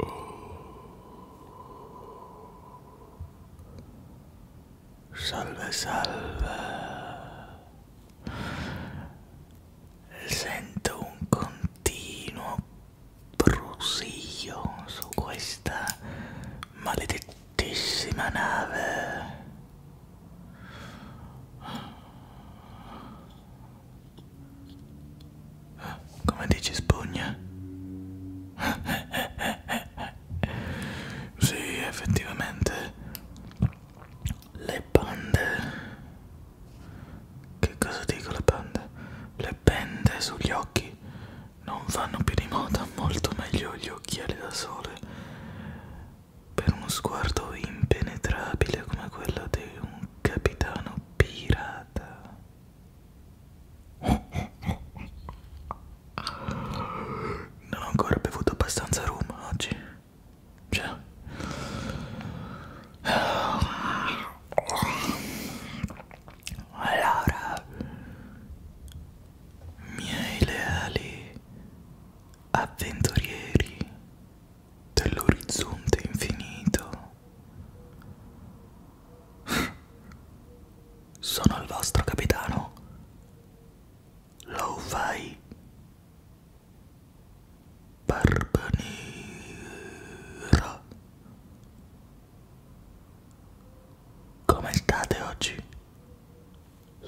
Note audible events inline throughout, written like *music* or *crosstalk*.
Oh. Salve, salve. Sento un continuo brusio su questa maledetta bruttissima nave. Come dici spugna? *laughs* sì, effettivamente le pande. Che cosa dico le pande? Le pende sugli occhi non vanno più di moda, molto meglio gli occhiali da sole per uno sguardo impenetrabile come quello di un capitano pirata. Non ho ancora bevuto abbastanza rum oggi. Cioè. Allora, miei leali avventurieri dell'orizzonte infinito. Sono il vostro capitano. Lo fai. Barbanera. Come state oggi?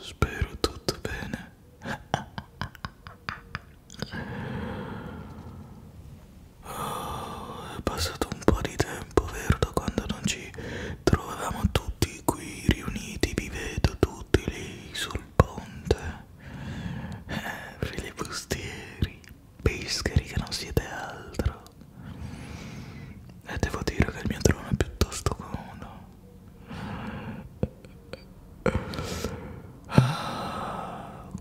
Spero tutto bene. Oh, è passato un po' di tempo, vero? Da quando non ci trovavamo tutti qui riuniti, vi vedo tutti lì sul ponte. Eh, fili bustieri, pescheri che non siete altro e devo dire che il mio trono è piuttosto comodo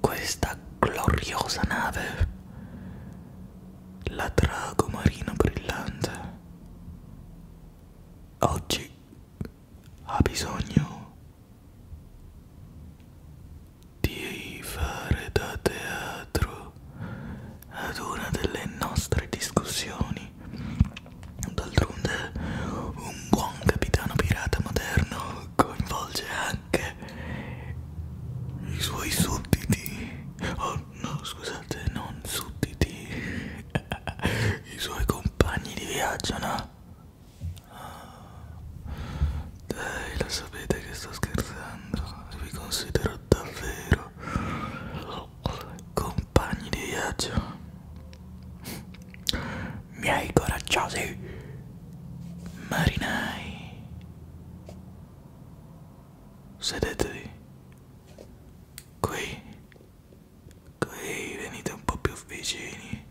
questa gloriosa nave la drago marino brillante oggi ha bisogno di fare da teatro ad una delle nostre discussioni. D'altronde, un buon capitano pirata moderno coinvolge anche i suoi sudditi. Oh no, scusate, non sudditi. I suoi compagni di viaggio, no? Ah, dai, lo sapete che sto scherzando. Vi considero davvero compagni di viaggio miei coraggiosi marinai sedetevi qui qui venite un po' più vicini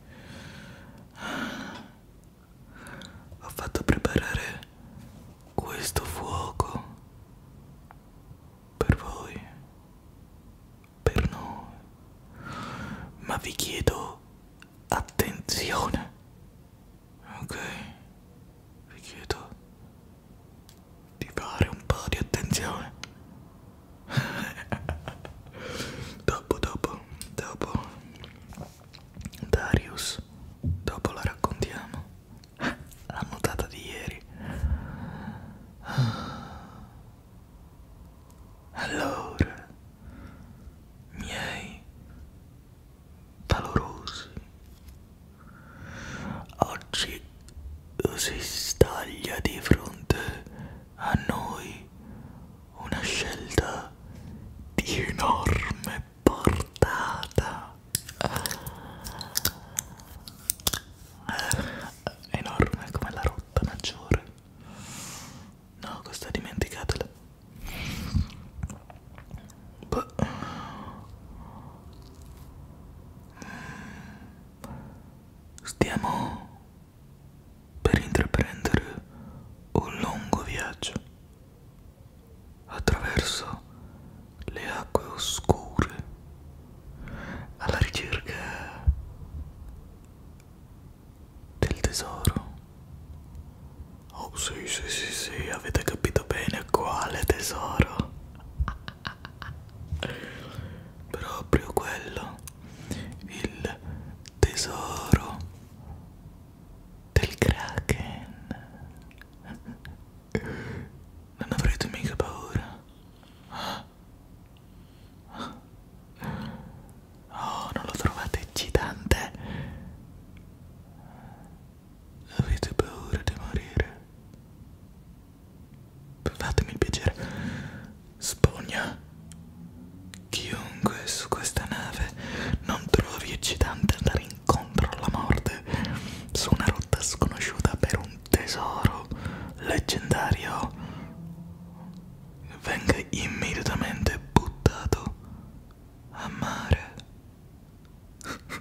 ho fatto preparare questo fuoco per voi, per noi, ma vi chiedo attenzione, ok? Vi chiedo di fare un po' di attenzione. *laughs* dopo, dopo, dopo, Darius, dopo la raccontiamo la nuotata di ieri allora miei valorosi oggi si staglia di fronte a noi una scelta di enorme portata eh, enorme come la rotta maggiore no questa dimenticatela Beh. stiamo per intraprendere un lungo viaggio attraverso le acque oscure alla ricerca del tesoro. Oh sì sì sì sì, avete capito bene quale tesoro. *laughs* Proprio quello, il tesoro del kraken. *laughs* Non avrete mica paura. Oh, non lo trovate eccitante? Avete paura di morire? Fatemi il piacere. Spugna. Chiunque su questa nave non trovi eccitante andare incontro alla morte su una rotta sconosciuta per un tesoro leggendario venga immediatamente buttato a mare *laughs*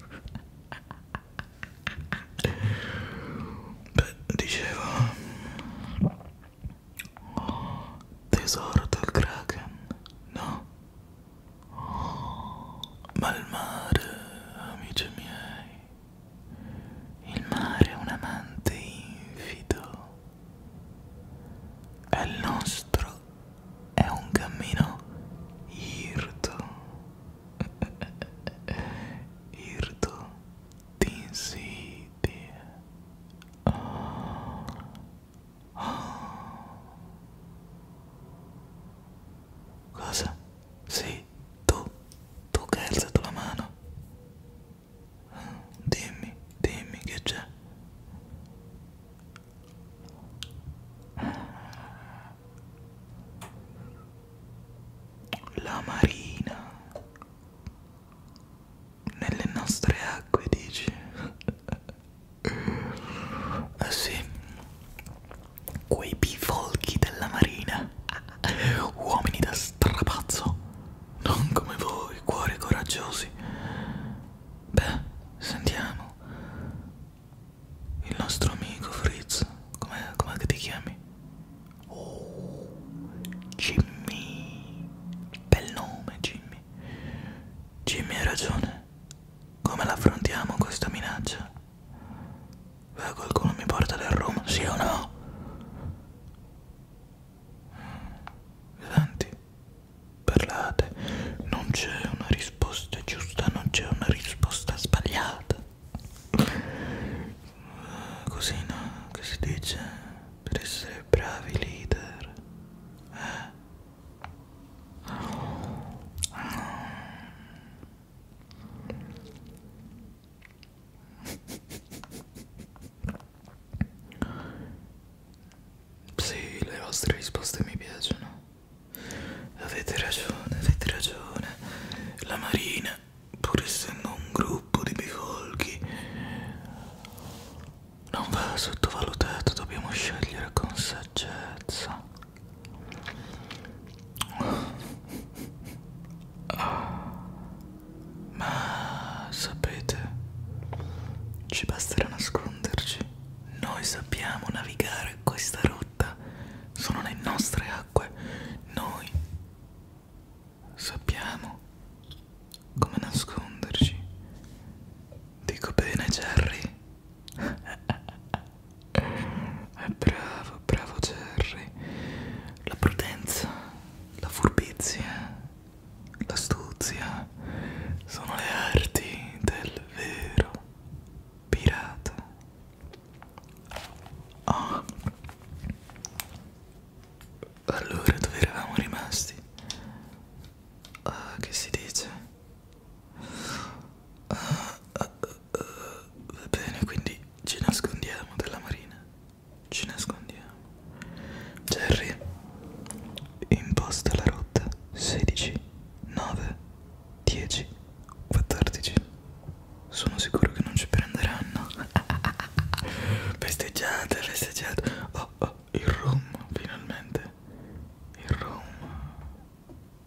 beh dicevo oh, tesoro del kraken no oh, ma il mare amici miei il mare è un amante infido. E il nostro è un cammino irto. *laughs* irto di insidie. Oh. Oh. Cosa? Sì sei tu, tu che hai alzato la mano. Dimmi, dimmi che c'è. La marina nelle nostre acque dici? *laughs* Eh sì, quei bifolchi della marina, uomini da strapazzo, non come voi, cuori coraggiosi. Beh, sentiamo. Il nostro amico Fritz, com'è com che ti chiami? Oh, Jimmy. Bel nome, Jimmy. Jimmy ha ragione. Come l'affrontiamo questa minaccia? Beh, qualcuno mi porta del rum, sì o no? Mi senti? Parlate, non c'è una risposta giusta, non c'è una risposta sbagliata. Eh, così no, che si dice? Per essere bravi leader. Eh? Sì, le vostre risposte mi piacciono. Avete ragione, avete ragione. La Marina, pur essendo un gruppo di bifolchi, non va sottovalutato, dobbiamo scegliere con saggezza. Ma sapete, ci basterà nasconderci. Noi sappiamo navigare questa rotta, sono le nostre acque. Noi sappiamo come nasconderci. Dico bene, Jerry. *laughs* È eh, bravo, bravo Jerry. La prudenza, la furbizia, l'astuzia sono le arti del vero pirata. Oh. Allora, dove eravamo rimasti? Uh, che si dice? Uh, uh, eh, eh, va bene, quindi ci nascondiamo dalla marina. Ci nascondiamo. Jerry, imposta la rotta 16, 9, 10, 14. Sono sicuro che non ci prenderanno. *laughs* festeggiate, festeggiate. Oh, oh, il rum, finalmente. Il rum.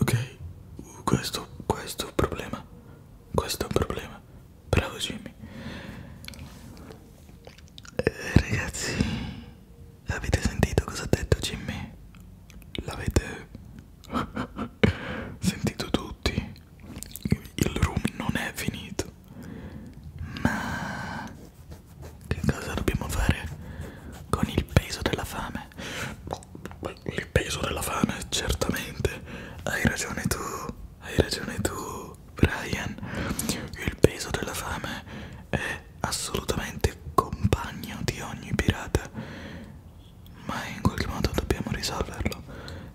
ok, questo, questo è un problema. Questo è un problema. Bravo Jimmy. Eh, ragazzi, avete sentito cosa ha detto Jimmy? L'avete *laughs* sentito tutti? Il room non è finito. Ma che cosa dobbiamo fare con il peso della fame? il peso della fame, certamente. Hai ragione tu, hai ragione tu, Brian. Il peso della fame è assolutamente compagno di ogni pirata. Ma in qualche modo dobbiamo risolverlo.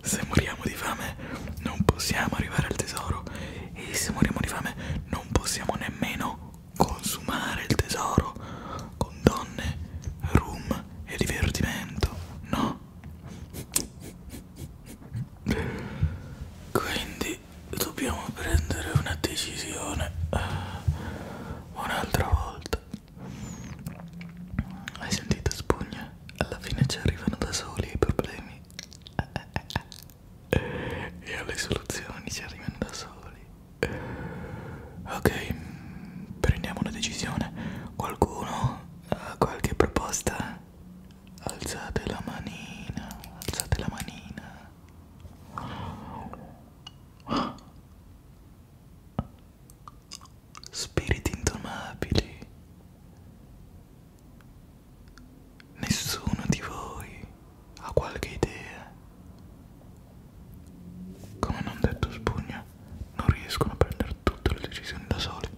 Se moriamo di fame non possiamo arrivare al tesoro e se moriamo di fame non possiamo nemmeno consumare il tesoro con donne, rum e divertimento, no? Quindi dobbiamo prendere una decisione eh, un'altra volta. Hai sentito spugna? Alla fine ci arrivano da soli i problemi. *laughs* E alle soluzioni ci arrivano da soli. Ok, prendiamo una decisione. Qualcuno ha qualche proposta? Alzate la manina, alzate la manina. Spiriti indomabili. Nessuno di voi ha qualche idea come non detto spugna, non riescono a prendere tutte le decisioni da soli.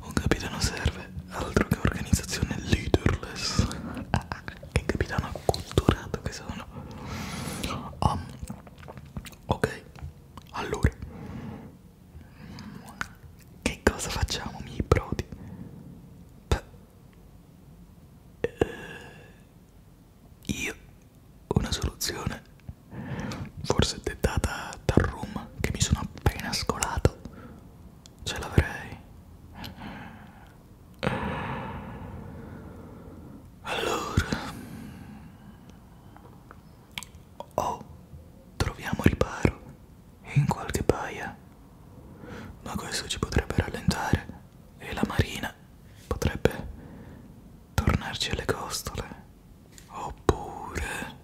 Un capitano serve, altro che organizzazione leaderless. *laughs* che capitano acculturato che sono. Um, ok, allora. Che cosa facciamo, miei prodi? Beh, eh, io una soluzione forse dettata dal rum che mi sono appena scolato ce l'avrei allora o oh, troviamo riparo in qualche baia ma questo ci potrebbe rallentare e la marina potrebbe tornarci alle costole oppure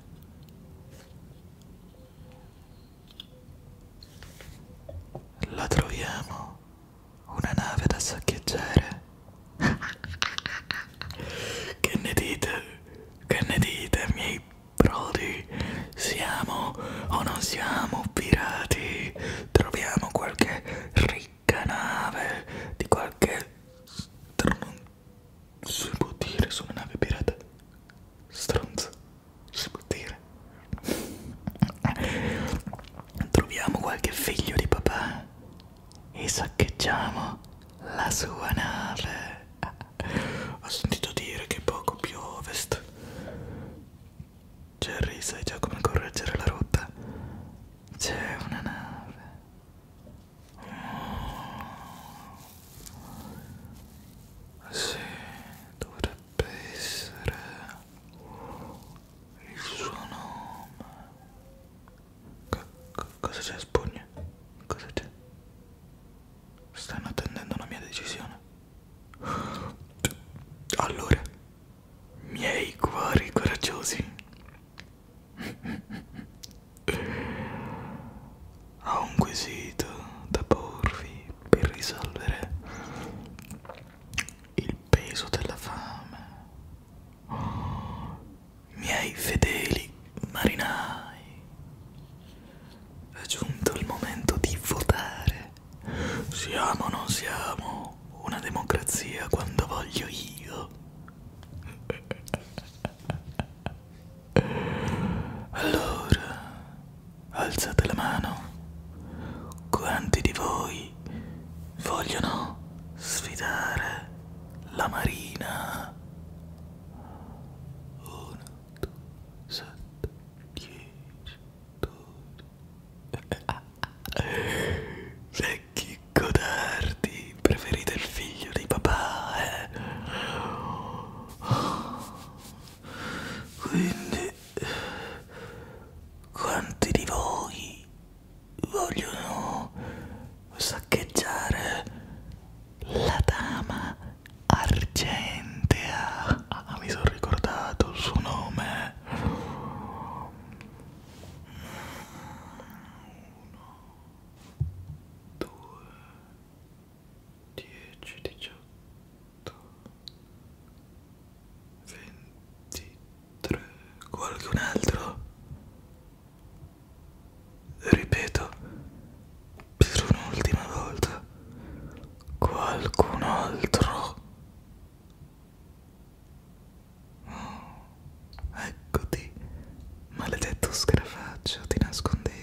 la troviamo una nave da saccheggiare *laughs* che ne dite che ne dite miei brodi siamo o non siamo pirati troviamo qualche canale di qualche non si può dire su una nave pirata stronzo si può dire troviamo qualche figlio di papà e saccheggiamo la sua nave ho sentito dire che poco più ovest Jerry, sai già come correggere la rotta? C'è una nave. Oh. Sì, dovrebbe essere il suo nome. C cosa c'è, Spugna? Cosa c'è? Stanno attendendo una mia decisione. Allora, miei cuori coraggiosi ho un quesito da porvi per risolvere il peso della fame oh, miei fedeli marinai è giunto il momento di votare siamo o non siamo una democrazia quando voglio io. Allora, alzate la mano. Quanti di voi vogliono sfidare la Marina? 1, 2, 7, 10, 12. Ah, Vecchi codardi, preferite il figlio di papà, eh? Quindi, quanti di voi vogliono saccheggiare la dama argentea? Ah, mi sono ricordato il suo nome uno, due, dieci, diciotto, ventitré, qualcun altro? Ripeto, per un'ultima volta, qualcun altro? Oh, eccoti, maledetto scarafaccio, ti nascondevi.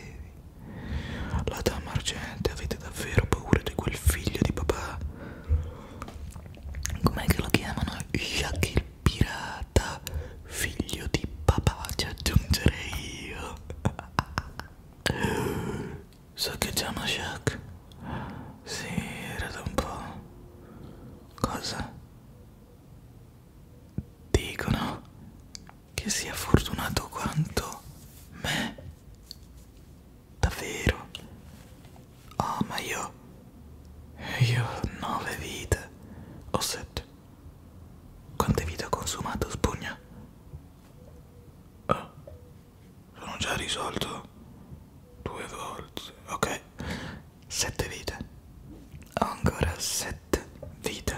La dama argente, avete davvero paura di quel figlio di papà? Com'è che lo chiamano? Jack il pirata, figlio di papà, ci aggiungerei io. So che chiama Jack? Sì, era da un po'. Cosa? Dicono che sia fortunato quanto me. Davvero? Oh, ma io... Io ho nove vite. O sette. Quante vite ho consumato, spugna? Oh, sono già risolto due volte. Ok, sette vite. Ho ancora sette vite.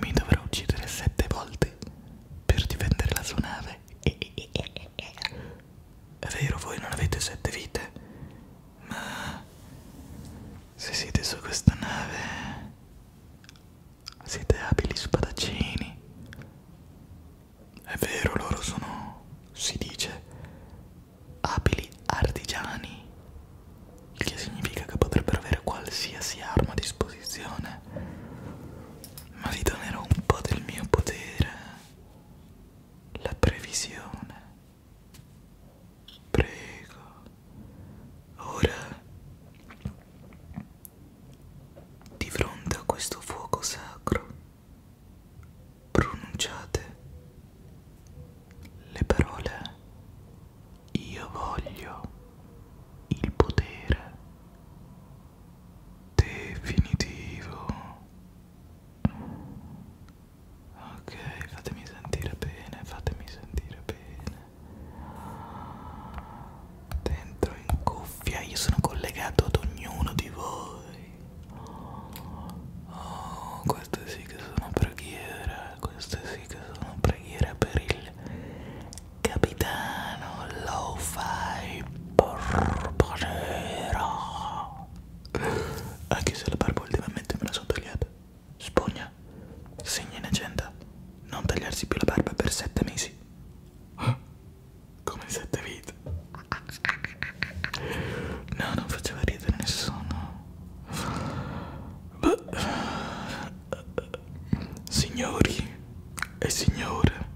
Mi dovrò uccidere sette volte per difendere la sua nave. È vero, voi non avete sette vite, ma se siete su questa nave siete abili spadaccini è vero, loro sono, si dice, abili artigiani, il che significa che potrebbero avere qualsiasi arma a disposizione. Ma vi donerò un po' del mio potere, la previsione. Prego, ora, di fronte a questo fuoco sacro pronunciate le parole io voglio il potere definitivo ok fatemi sentire bene fatemi sentire bene dentro in cuffia io sono collegato ad ognuno di voi Oh, queste sì che sono preghiere, queste sì che sono preghiere per il capitano Lo-Fi Borbolero. Anche se la barba ultimamente me la sono tagliata. Spugna, segna in agenda, non tagliarsi più la barba per sette mesi. Come sette vite. No, non faceva ridere nessuno. Signori e signore,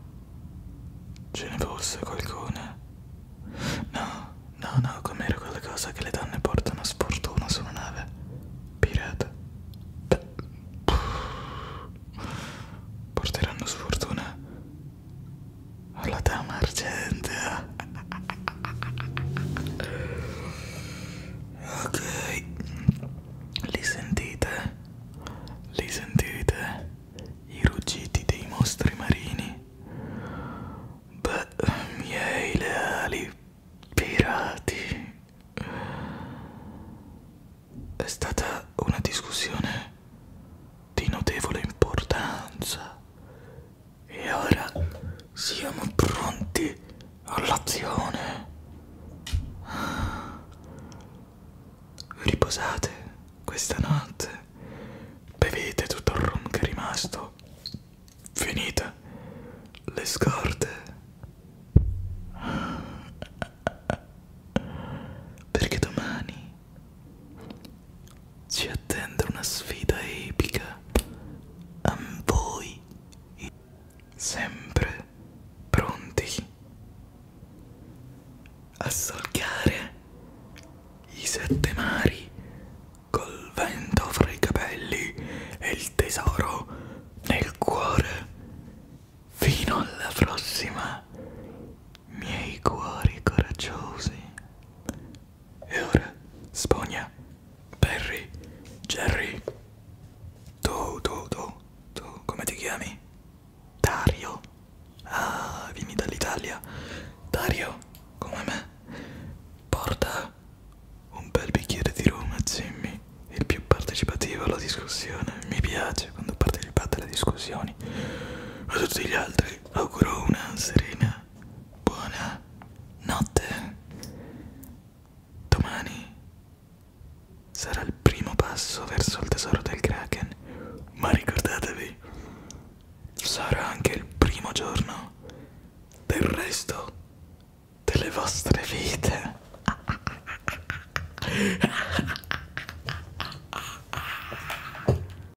ce ne fosse qualcuna? No, no, no, com'era quella cosa che le donne portano a sfortuna su una nave? Pirata. Porteranno sfortuna alla dama argentea ok li sentite li sentite i ruggiti dei mostri marini beh miei leali pirati è stata una discussione di notevole importanza e ora siamo pronti all'azione. Riposate questa notte, bevete tutto il rum che è rimasto, finite le scorte. Perché domani ci attende una sfida epica. A voi. Sempre pronti a solcare i sette mari col vento fra i capelli e il tesoro nel cuore. Fino alla prossima miei cuori coraggiosi. E ora, Spogna, Perry, Jerry, tu, tu, tu, tu, come ti chiami? Dario. Ah, vieni dall'Italia. Dario, come me, porta un bel bicchiere di rum a Jimmy, il più partecipativo alla discussione. Mi piace quando partecipate alle discussioni. A tutti gli altri auguro una serena buona, buona notte. Domani sarà il primo passo verso il tesoro del Kraken, ma ricordatevi, sarà anche il primo giorno del resto delle vostre vite. *laughs*